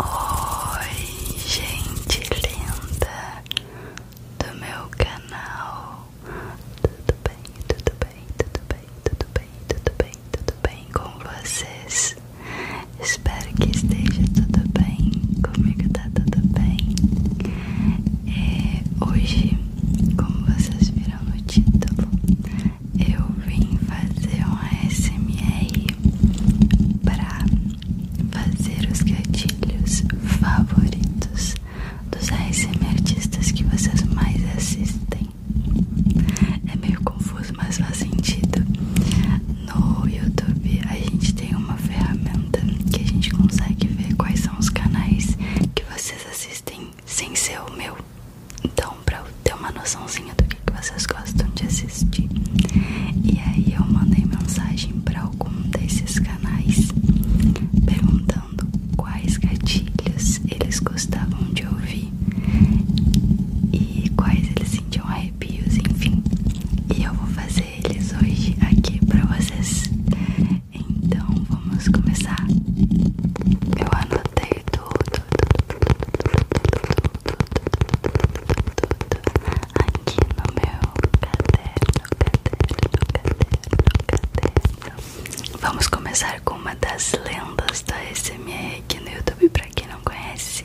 Oi, gente linda do meu canal. Tudo bem, tudo bem, tudo bem, tudo bem, tudo bem, tudo bem com vocês? Espero que esteja tudo bem. Comigo tá tudo bem. É, hoje, como vocês viram no título, eu vim fazer um ASMR para fazer os gatilhos favoritos dos ASM artistas que vocês mais assistem. É meio confuso, mas faz sentido. No YouTube a gente tem uma ferramenta que a gente consegue ver quais são os canais que vocês assistem sem ser o meu. Então, para ter uma noçãozinha do que, que vocês gostam de assistir. E aí eu mandei mensagem para algum desses canais perguntando quais gatilhos eles gostavam de ouvir e quais eles sentiam arrepios, enfim. E eu vou fazer eles hoje aqui para vocês. Então vamos começar. Eu anotei aqui no meu caderno, caderno, caderno, caderno. Vamos começar com uma das lendas da SMR aqui no YouTube, pra quem não conhece,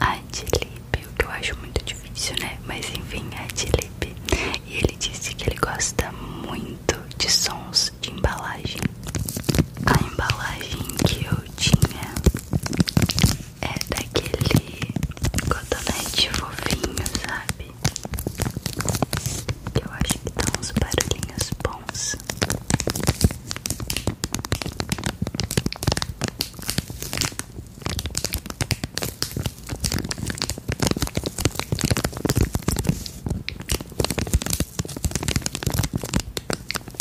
a o que eu acho muito difícil, né? Mas enfim, a E ele disse que ele gosta muito de sons de embalagem. A embalagem que eu tinha é daquele cotonete fofinho, sabe? Que eu acho que dá uns barulhinhos bons.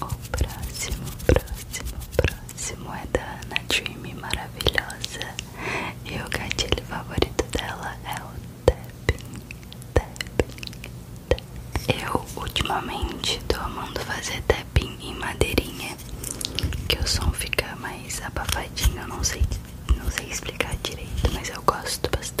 O próximo, próximo, próximo é da Ana Dream maravilhosa. E o gatilho favorito dela é o tapping, tapping, tapping. Eu ultimamente tô amando fazer tapping em madeirinha, que o som fica mais abafadinho, eu não sei não sei explicar direito, mas eu gosto bastante.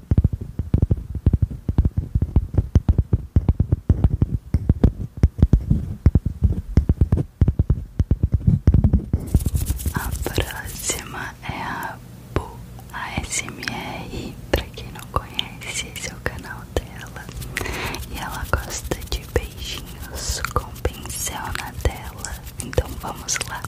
A próxima é a Bu ASMR, pra quem não conhece, esse é o canal dela. E ela gosta de beijinhos com pincel na tela. Então vamos lá.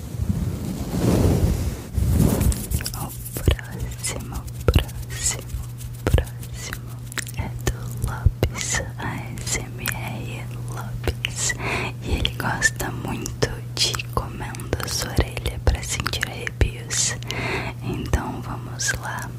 O próximo, próximo, próximo é do Lopes ASMR Lopes e ele gosta muito de comendo a sua orelha para sentir arrepios. Então vamos lá. Lopes,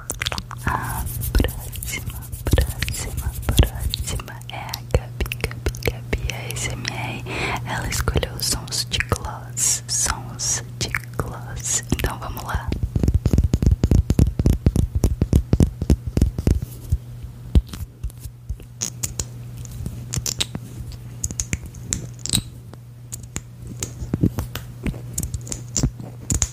A próxima, próxima, próxima é a Gabi, Gabi, Gabi ASMR. Ela escolheu sons de gloss, sons de gloss. Então vamos lá.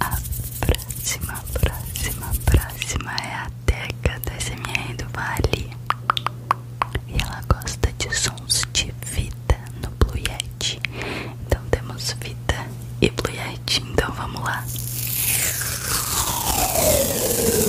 A próxima, próxima, próxima é a Teca da SMR do Vale. E ela gosta de sons de vida no Blue Yeti. Então temos vida e Blue Yeti. Então vamos lá. Oi,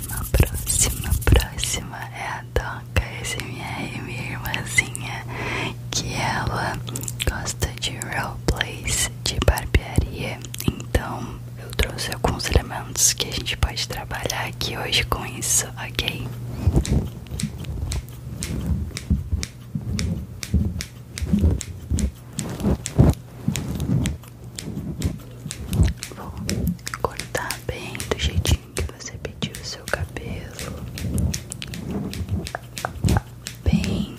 próxima, próxima, é a Doca SMR, é minha irmãzinha, que ela gosta de real roleplays de barbearia. Então eu trouxe alguns elementos que a gente pode trabalhar aqui hoje com isso, ok? Vou cortar bem do jeitinho que você pediu o seu cabelo, bem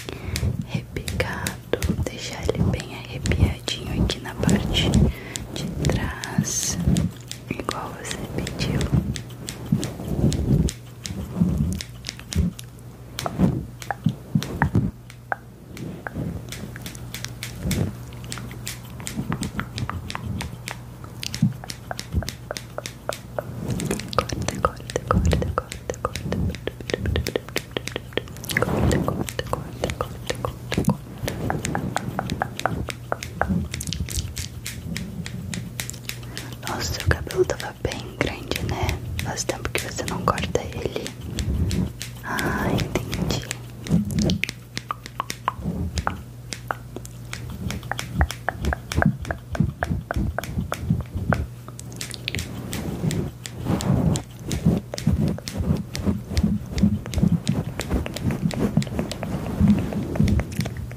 repicado, deixar ele bem arrepiadinho aqui na parte de trás, igual você pediu. Corta, corta, corta, corta, corta, corta, corta, corta, corta, corta. corta, Nossa, o cabelo tava bem grande, né? Faz tempo que você não corta ele. Ah, entendi.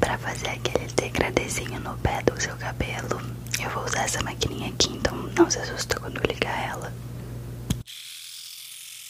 Para fazer aquele degradezinho no pé do seu cabelo, eu vou usar essa maquininha aqui, então não se assusta quando ligar ela.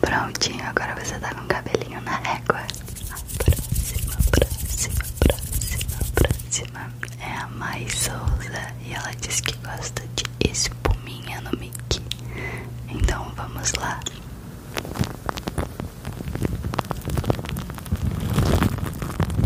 Prontinho, agora você tá com cabelinho na régua. Próxima, próxima, próxima, próxima é a mais Souza e ela diz que gosta de espuminha no mic. Então vamos lá.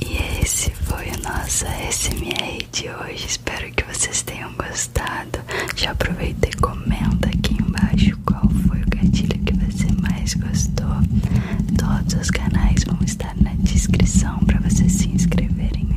E esse foi o nosso SMR de hoje. Espero que vocês tenham gostado. Já aproveita e comenta aqui embaixo qual foi o gatilho que você mais gostou. Todos os canais vão estar na descrição para vocês se inscreverem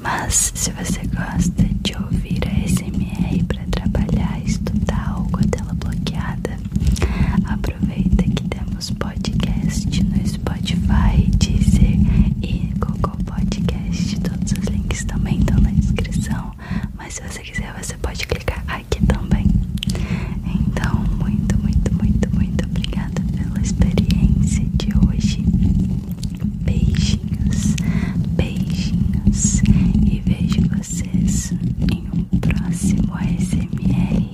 Mas se você gosta de ouvir a SMR para trabalhar, estudar ou com a tela bloqueada, aproveita que temos podcast no Spotify, Deezer e Google Podcast. Todos os links também estão na descrição. Mas se você quiser, você pode clicar aqui também. Então, muito, muito, muito, muito obrigada pela experiência de hoje. Beijinhos, beijinhos e vejo vocês em um próximo ASMR.